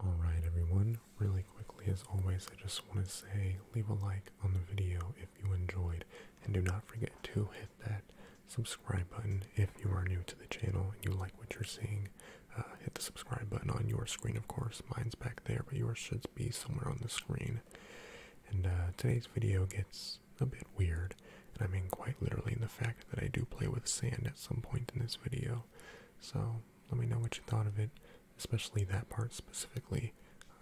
Alright everyone, really quickly as always I just want to say leave a like on the video if you enjoyed and do not forget to hit that subscribe button if you are new to the channel and you like what you're seeing. Uh, hit the subscribe button on your screen of course, mine's back there but yours should be somewhere on the screen. And uh, today's video gets a bit weird I mean quite literally in the fact that I do play with sand at some point in this video. So let me know what you thought of it, especially that part specifically.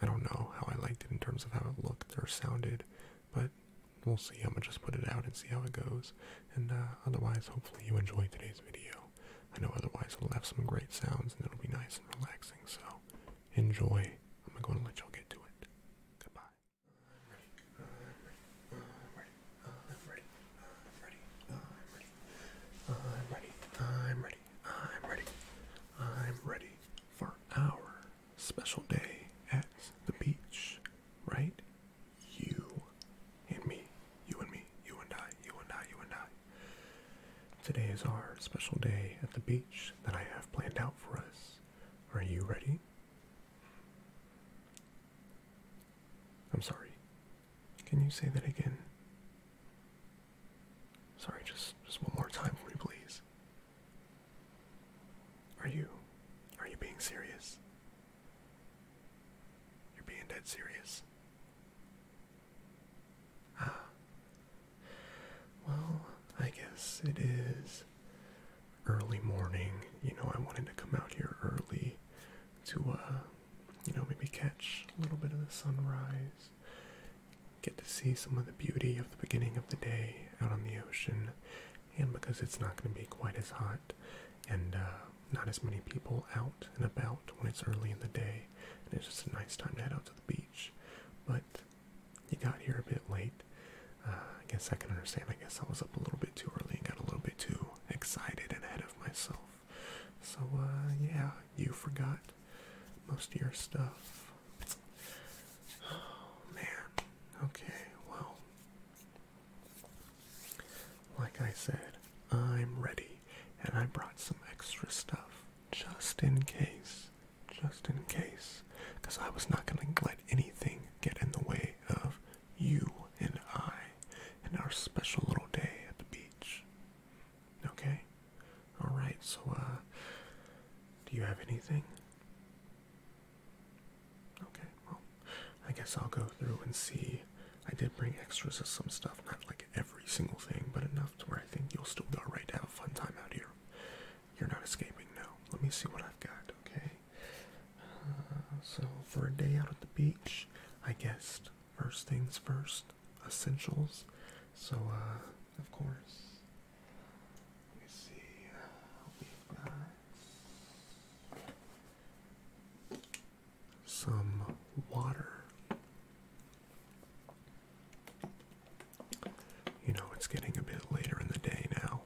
I don't know how I liked it in terms of how it looked or sounded, but we'll see. I'm gonna just put it out and see how it goes. And uh, otherwise, hopefully, you enjoyed today's video. I know otherwise it'll have some great sounds and it'll be nice and relaxing, so enjoy. I'm gonna go and let y'all get to it. Goodbye. I'm ready. I'm ready. I'm ready. I'm ready. I'm ready. I'm ready. I'm ready for our special day at the beach, right? You and me. You and me. You and I. You and I. You and I. Today is our special day at the beach that I have planned out for us. Are you ready? I'm sorry. Can you say that again? Sorry, just just one more time for me, please. Are you are you being serious? You're being dead serious. Ah. Well, I guess it is early morning. You know, I wanted to come out here early to uh you know, maybe catch a little bit of the sunrise, get to see some of the beauty of the beginning of the day out on the ocean, and because it's not going to be quite as hot and uh, not as many people out and about when it's early in the day, it's just a nice time to head out to the beach. But you got here a bit late. Uh, I guess I can understand. I guess I was up a little bit too early and got a little bit too excited and ahead of myself. So, uh, yeah, you forgot most of your stuff. Oh, man. Okay, well. Like I said, I'm ready, and I brought some extra stuff just in case. Just in case. Because I was not going to let anything get in the way of you and I and our special little day at the beach. Okay? Alright, so, uh, do you have anything? Okay, well, I guess I'll go through and see. I did bring extras of some stuff, not like every single thing, but enough to where I think you'll still be alright to have a fun time out here. You're not escaping now. Let me see what I've got, okay? Uh, so, for a day out at the beach, I guessed first things first, essentials. So, uh, of course, let me see some water. You know, it's getting a bit later in the day now.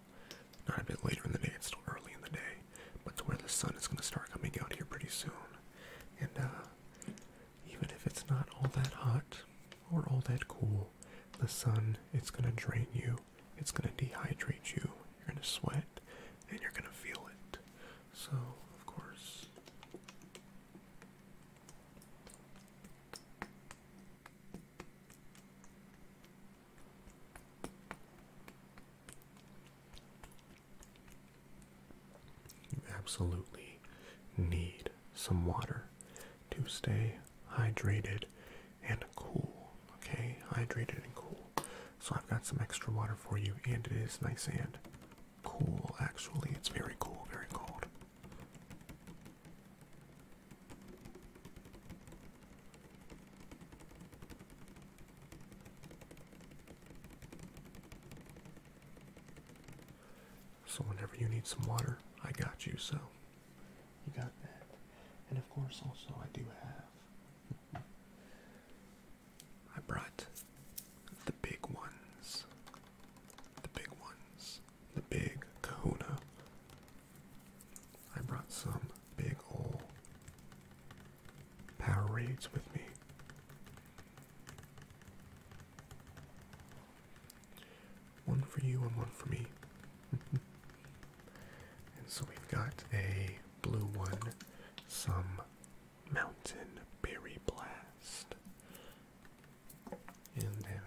Not a bit later in the day, it's still early in the day but to where the sun is going to start coming out here pretty soon. And uh, even if it's not all that hot or all that cool, the sun it's going to drain you. It's going to dehydrate you. You're going to sweat, and you're going to feel it. So, of course. You absolutely need some water to stay hydrated and cool. Okay, hydrated and cool. So I've got some extra water for you, and it is nice and cool, actually. It's very cool, very cold. So whenever you need some water, I got you. So you got that. And of course, also I do have. I brought the big ones. The big ones. The big kahuna. I brought some big old parades with me. One for you and one for me. and so we've got a blue one, some mountain berry blast. And then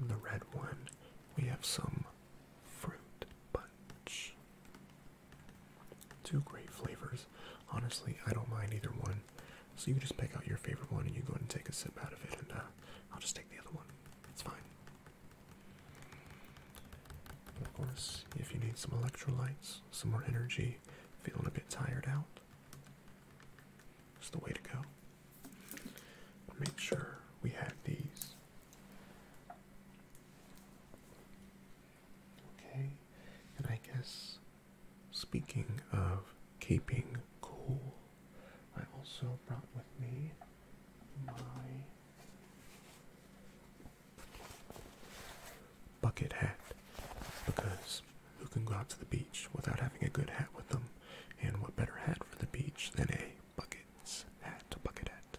on the red one, we have some fruit bunch. Two great flavors. Honestly, I don't mind either one. So you just pick out your favorite one and you go and take a sip out of it, and uh, I'll just take the other one. It's fine. Of course, if you need some electrolytes, some more energy, feeling a bit tired out, it's the way to go. Make sure we have these. Okay, and I guess speaking of keeping cool, I also brought with me my bucket hat because who can go out to the beach without having a good hat with them? And what better hat for the beach than a bucket hat? Bucket hat.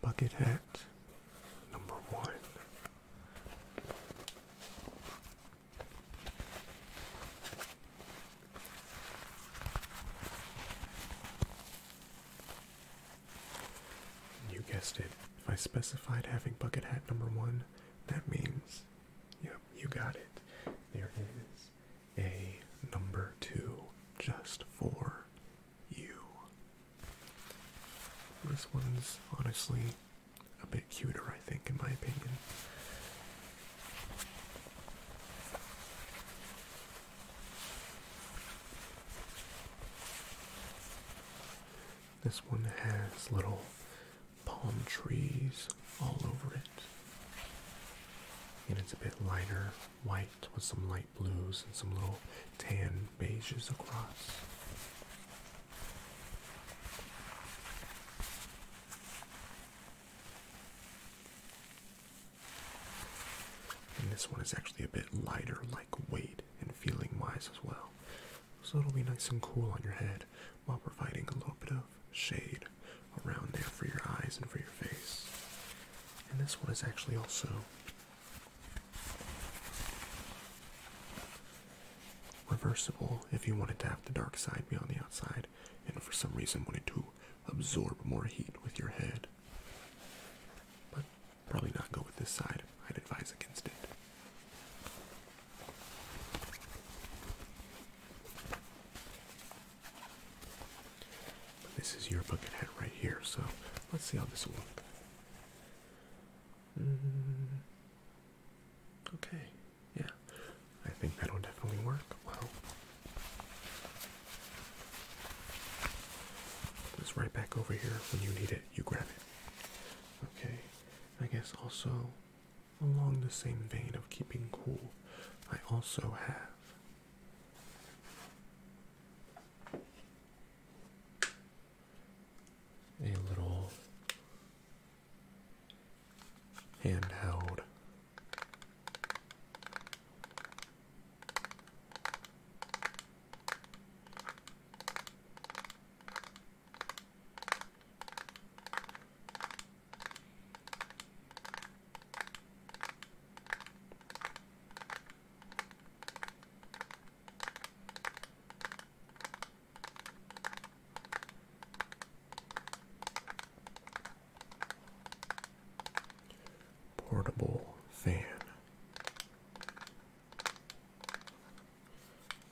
Bucket hat number one. You guessed it. If I specified having bucket hat number one, that means, yep, you got it. There it is a number two just for you. This one's honestly a bit cuter, I think, in my opinion. This one has little palm trees all over it. And it's a bit lighter white with some light blues and some little tan beiges across. And this one is actually a bit lighter, like weight and feeling wise as well. So it'll be nice and cool on your head while providing a little bit of shade around there for your eyes and for your face. And this one is actually also reversible if you wanted to have the dark side be on the outside and for some reason wanted to absorb more heat with your head. But probably not go with this side. I'd advise against it this is your bucket head right here, so let's see how this will look. Mm, okay, yeah, I think that'll definitely work. Well, it's right back over here when you need it, you grab it. Okay, I guess also along the same vein of keeping cool, I also have a little handheld Portable fan.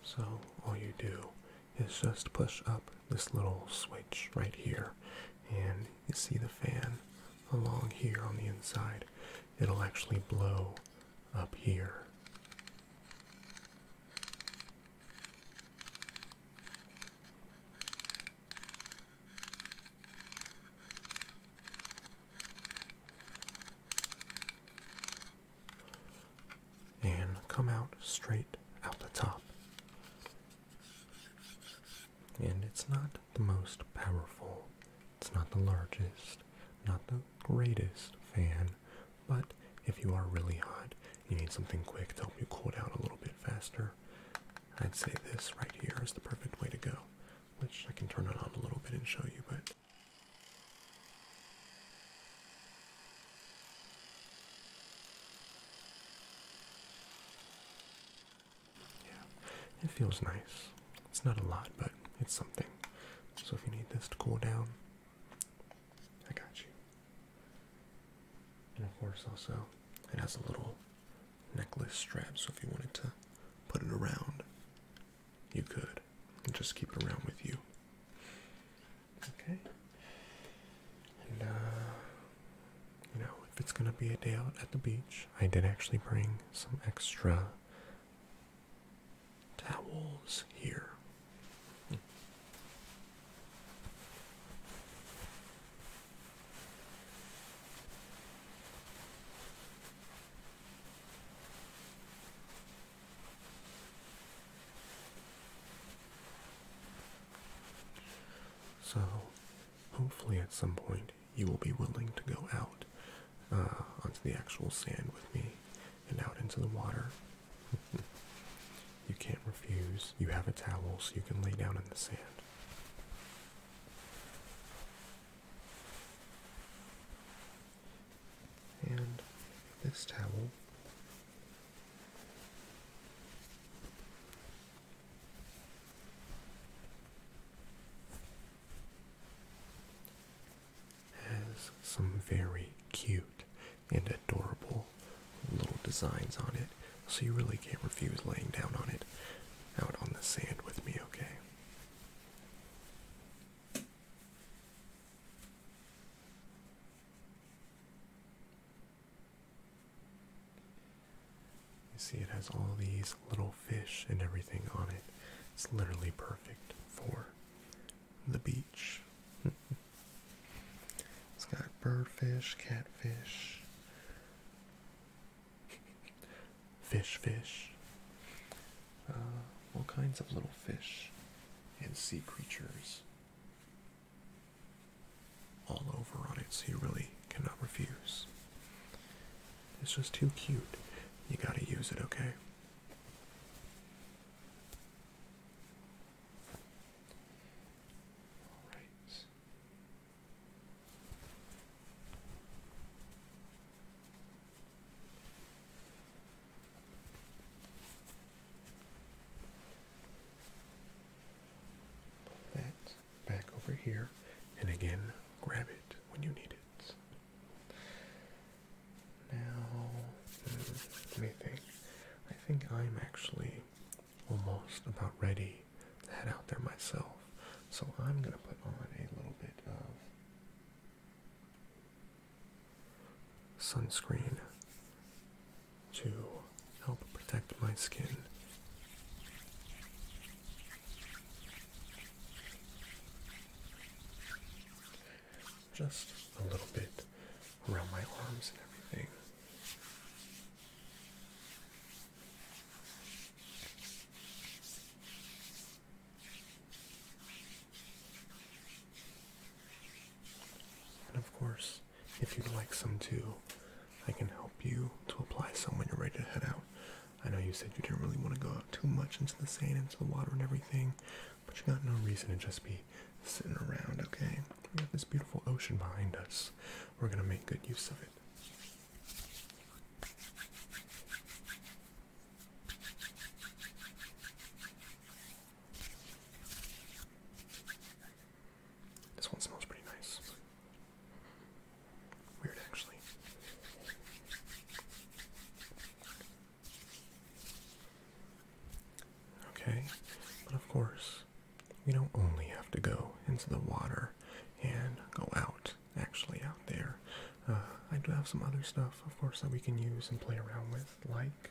So all you do is just push up this little switch right here, and you see the fan along here on the inside. It'll actually blow up here. and come out straight out the top and it's not the most powerful, it's not the largest, not the greatest fan, but if you are really hot, you need something quick to help you cool down a little bit faster. I'd say this right here is the perfect way to go, which I can turn it on a little bit and show you, but yeah, it feels nice. It's not a lot, but it's something. So if you need this to cool down, I got you. And of course, also, it has a little necklace strap, so if you wanted to put it around, you could. And just keep it around with you. Okay. Uh, you know, if it's gonna be a day out at the beach, I did actually bring some extra towels here. So, hopefully at some point you will be willing to go out uh, onto the actual sand with me and out into the water. you can't refuse. You have a towel so you can lay down in the sand. And this towel has some very cute and adorable little designs on it, so you really can't refuse laying down on it out on the sand with me, okay? You see, it has all these little fish and everything on it. It's literally perfect for the beach. it's got birdfish, catfish, fish, fish, uh, all kinds of little fish and sea creatures all over on it, so you really cannot refuse. It's just too cute. You gotta use it, okay? Alright. That back over here, and again, grab it when you need it. Now, hmm, let me think. I think I'm actually almost about ready to head out there myself, so I'm gonna put on a little bit of sunscreen to help protect my skin. Just a little bit around my arms and everything. And of course, if you'd like some too, I can help you to apply some when you're ready to head out. I know you said you didn't really want to go out too much into the sand, into the water and everything, but you have got no reason to just be sitting around, okay? We have this beautiful ocean behind us. We're gonna make good use of it. This one smells pretty nice. Weird, actually. Okay, but of course, we don't only have to go into the water and go out, actually, out there. Uh, I do have some other stuff, of course, that we can use and play around with, like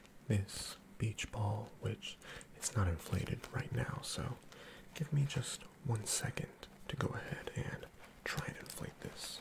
this beach ball, which it's not inflated right now, so give me just one second to go ahead and try and inflate this.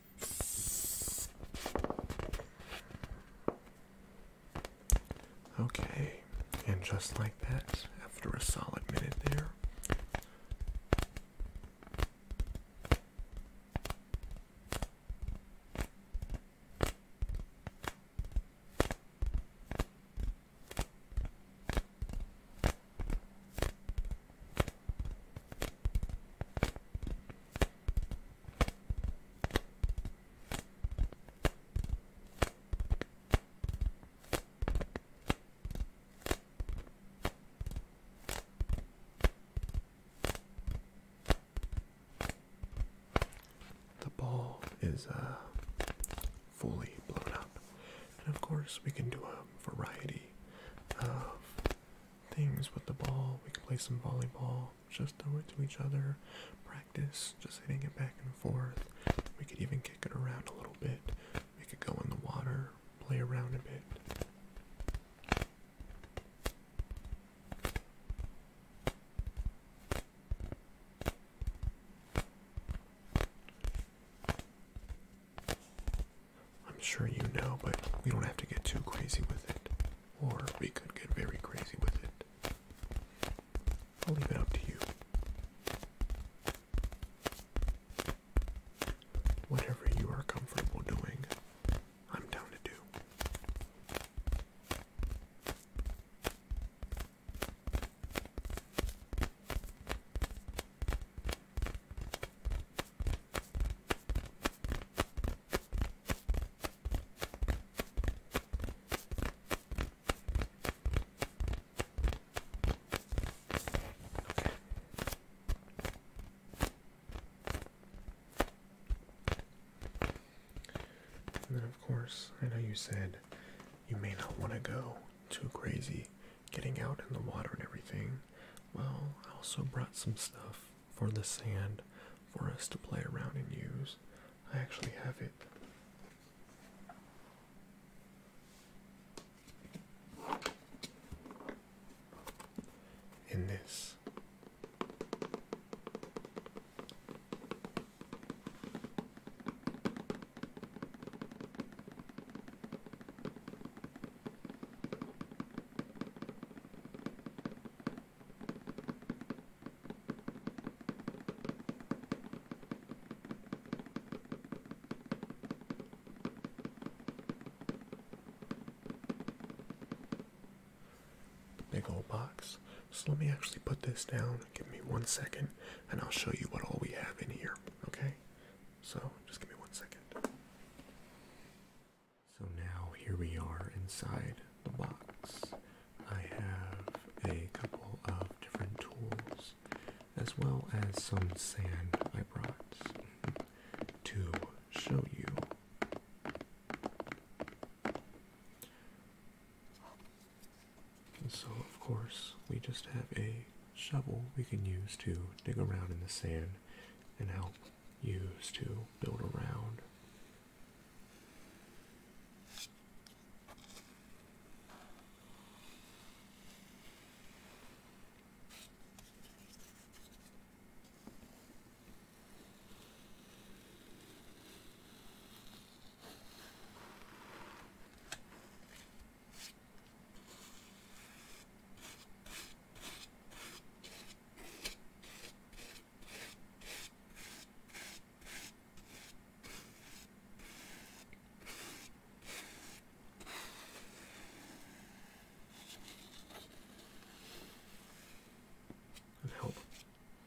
Okay, and just like that, after a solid minute there, the ball is uh, fully blown up, and of course, we can do a variety of things with the ball. We could play some volleyball, just throw it to each other, practice, just hitting it back and forth. We could even kick it around a little bit. We could go in the water, play around a bit. I'm sure you know, but we don't have to get too crazy with it. Or we could get very crazy with it. I'll leave it up to you. Whatever you are comfortable doing, I'm down to do of course, I know you said you may not want to go too crazy getting out in the water and everything. Well, I also brought some stuff for the sand for us to play around and use. I actually have it. In this, Big old box. So let me actually put this down. Give me one second and I'll show you what all we have in here. Okay? So just give me one second. So now here we are inside the box. I have a couple of different tools as well as some sand I brought to show you. So, of course, we just have a shovel we can use to dig around in the sand and help use to build around and help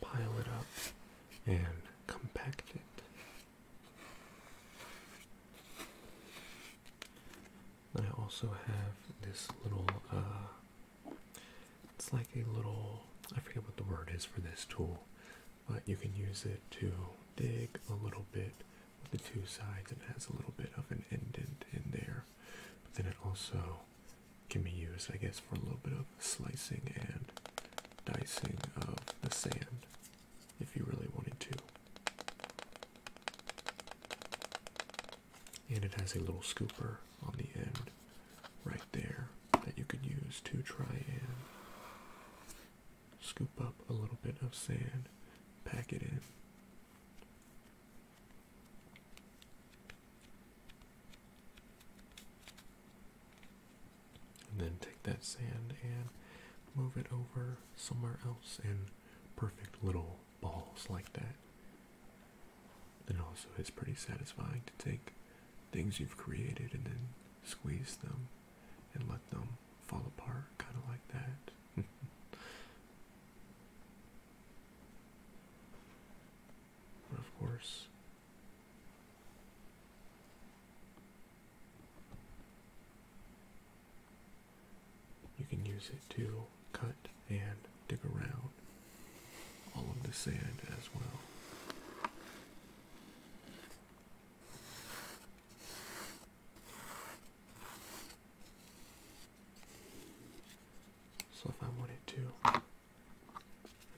pile it up and compact it. I also have this little, uh, it's like a little, I forget what the word is for this tool, but you can use it to dig a little bit with the two sides. It has a little bit of an indent in there, but then it also can be used, I guess, for a little bit of slicing and dicing of the sand if you really wanted to and it has a little scooper on the end right there that you could use to try and scoop up a little bit of sand, pack it in. And then take that sand and move it over somewhere else in perfect little balls like that. And also, it's pretty satisfying to take things you've created and then squeeze them and let them fall apart, kind of like that. but of course, you can use it to cut and dig around all of the sand as well. So if I wanted to, I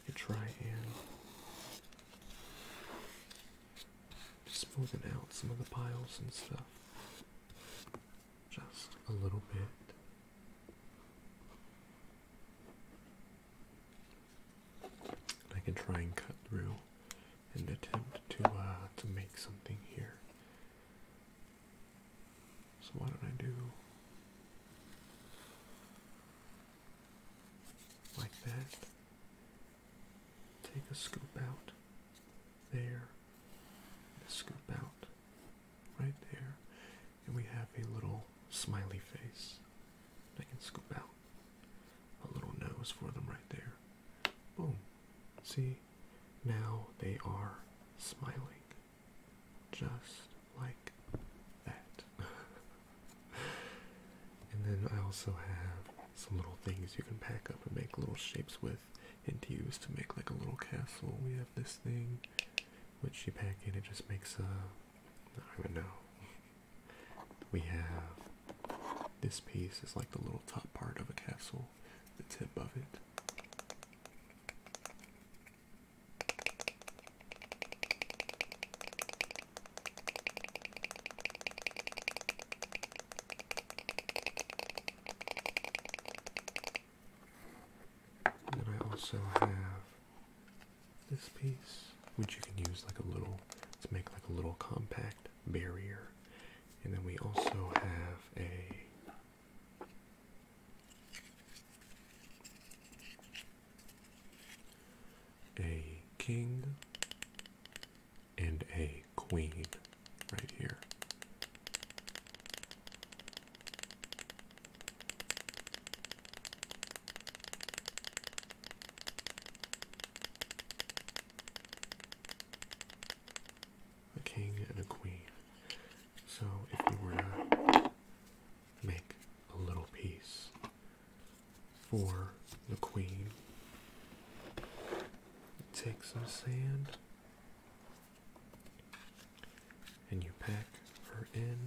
could try and smoothen out some of the piles and stuff just a little bit. I can try and cut through and attempt to uh, to make something here. So why don't I do like that? Take a scoop out there scoop out right there, and we have a little smiley face. I can scoop out a little nose for them right there. Boom. See, now they are smiling just like that. and then I also have some little things you can pack up and make little shapes with and used to make like a little castle. We have this thing which you pack in, it just makes a. I don't know. We have this piece is like the little top part of a castle, the tip of it. And then I also have this piece, which you can use like a little to make like a little compact barrier. And then we also have a a king and a queen right here. A king and a queen. So if you were to make a little piece for the queen, take some sand and you pack her in.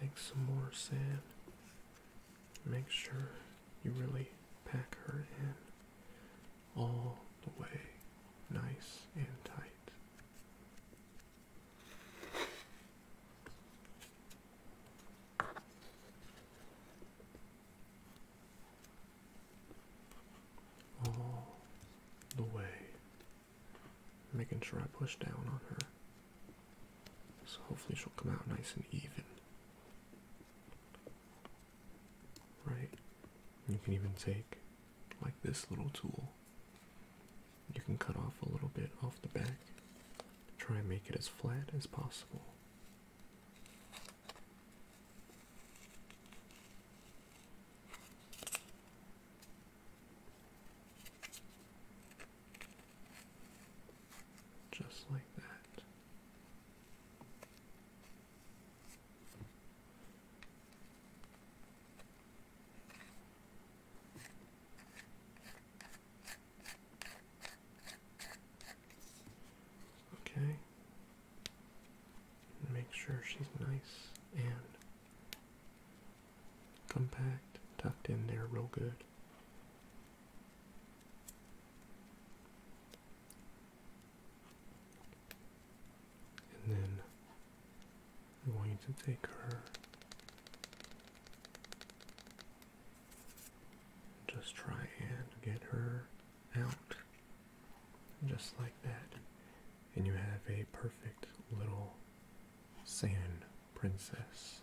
Take some more sand. Make sure you really pack her in all the way nice and tight all the way, making sure I push down on her. So hopefully she'll come out nice and even. Right? You can even take like this little tool. You can cut off a little bit off the back, try and make it as flat as possible. Just like that. Okay. Make sure she's nice and compact, tucked in there real good and then I'm going to take her just try and get her out just like that and you have a perfect little sand princess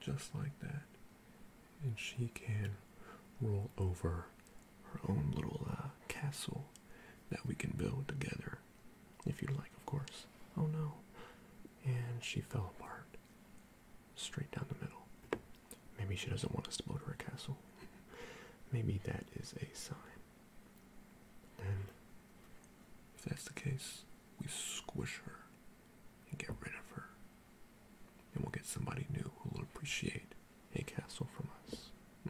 just like that and she can roll over her own little uh, castle that we can build together, if you like, of course. Oh no. And she fell apart. Straight down the middle. Maybe she doesn't want us to build her a castle. Maybe that is a sign. Then, if that's the case, we squish her and get rid of her. And we'll get somebody new who will appreciate a castle from us.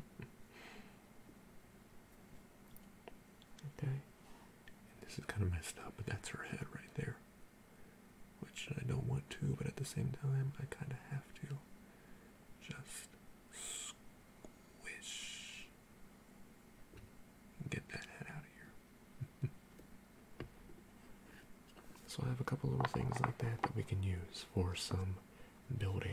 okay. And this is kind of messed up, but that's her head right there. Which I don't want to, but at the same time, I kind of have to. Just squish. Get that head out of here. so I have a couple little things like that that we can use for some building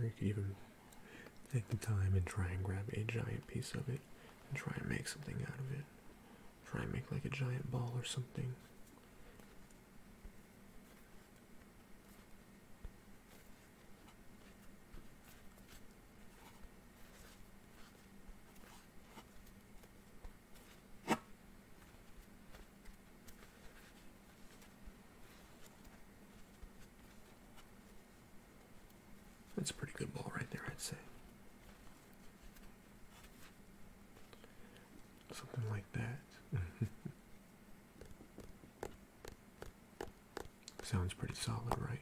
Or you could even take the time and try and grab a giant piece of it and try and make something out of it. Try and make like a giant ball or something. That's a pretty good ball right there, I'd say. Something like that. Sounds pretty solid, right?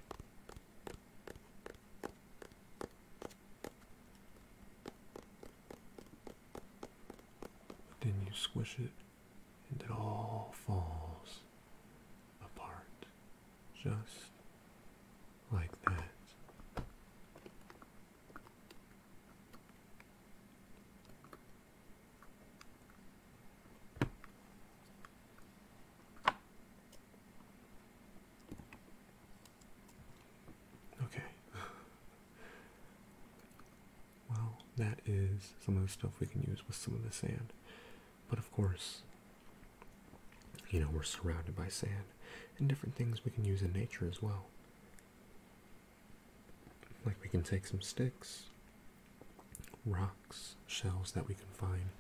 But then you squish it, and it all falls apart. Just like that. Okay. well, that is some of the stuff we can use with some of the sand. But of course, you know, we're surrounded by sand and different things we can use in nature as well. Like we can take some sticks rocks, shells that we can find.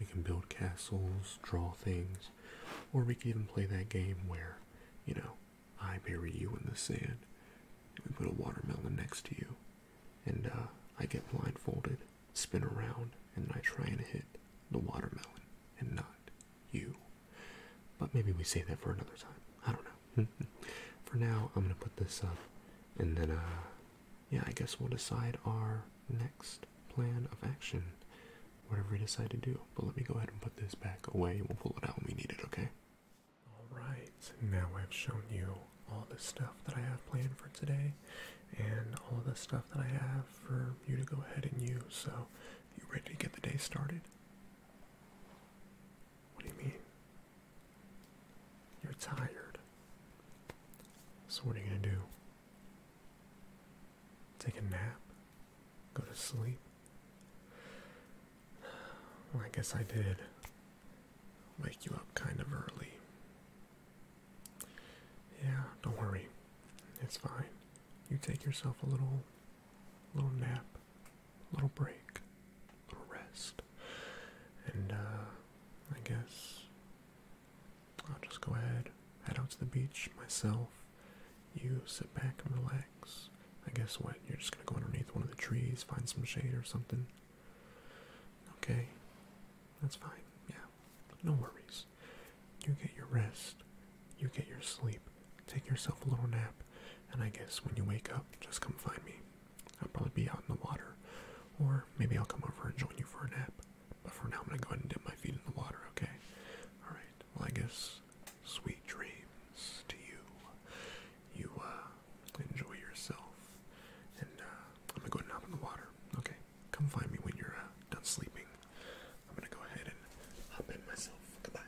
We can build castles, draw things, or we can even play that game where, you know, I bury you in the sand, and we put a watermelon next to you, and uh, I get blindfolded, spin around, and I try and hit the watermelon and not you. But maybe we say that for another time. I don't know. for now, I'm gonna put this up, and then uh, yeah, I guess we'll decide our next plan of action, whatever we decide to do. But let me go ahead and put this back away. We'll pull it out when we need it, okay? Alright, now I've shown you all the stuff that I have planned for today and all the stuff that I have for you to go ahead and use. So, you ready to get the day started? What do you mean? You're tired. So, what are you going to do? Take a nap? Go to sleep? Well, I guess I did wake you up kind of early. Yeah, don't worry. It's fine. You take yourself a little little nap, little break rest. And uh, I guess I'll just go ahead, head out to the beach myself. You sit back and relax. I guess what? You're just gonna go underneath one of the trees, find some shade or something. Okay, that's fine. Yeah, no worries. You get your rest, you get your sleep, take yourself a little nap, and I guess when you wake up, just come find me. I'll probably be out in the water, or maybe I'll come over and join you for a nap. But for now, I'm gonna go ahead and dip my feet in the water, okay? Alright, well, I guess sweet dreams to you. You, uh, enjoy yourself, and, uh, I'm gonna go hop in the water, okay? Come find me when you're, uh, done sleeping. I'm gonna go ahead and hop in myself. Goodbye.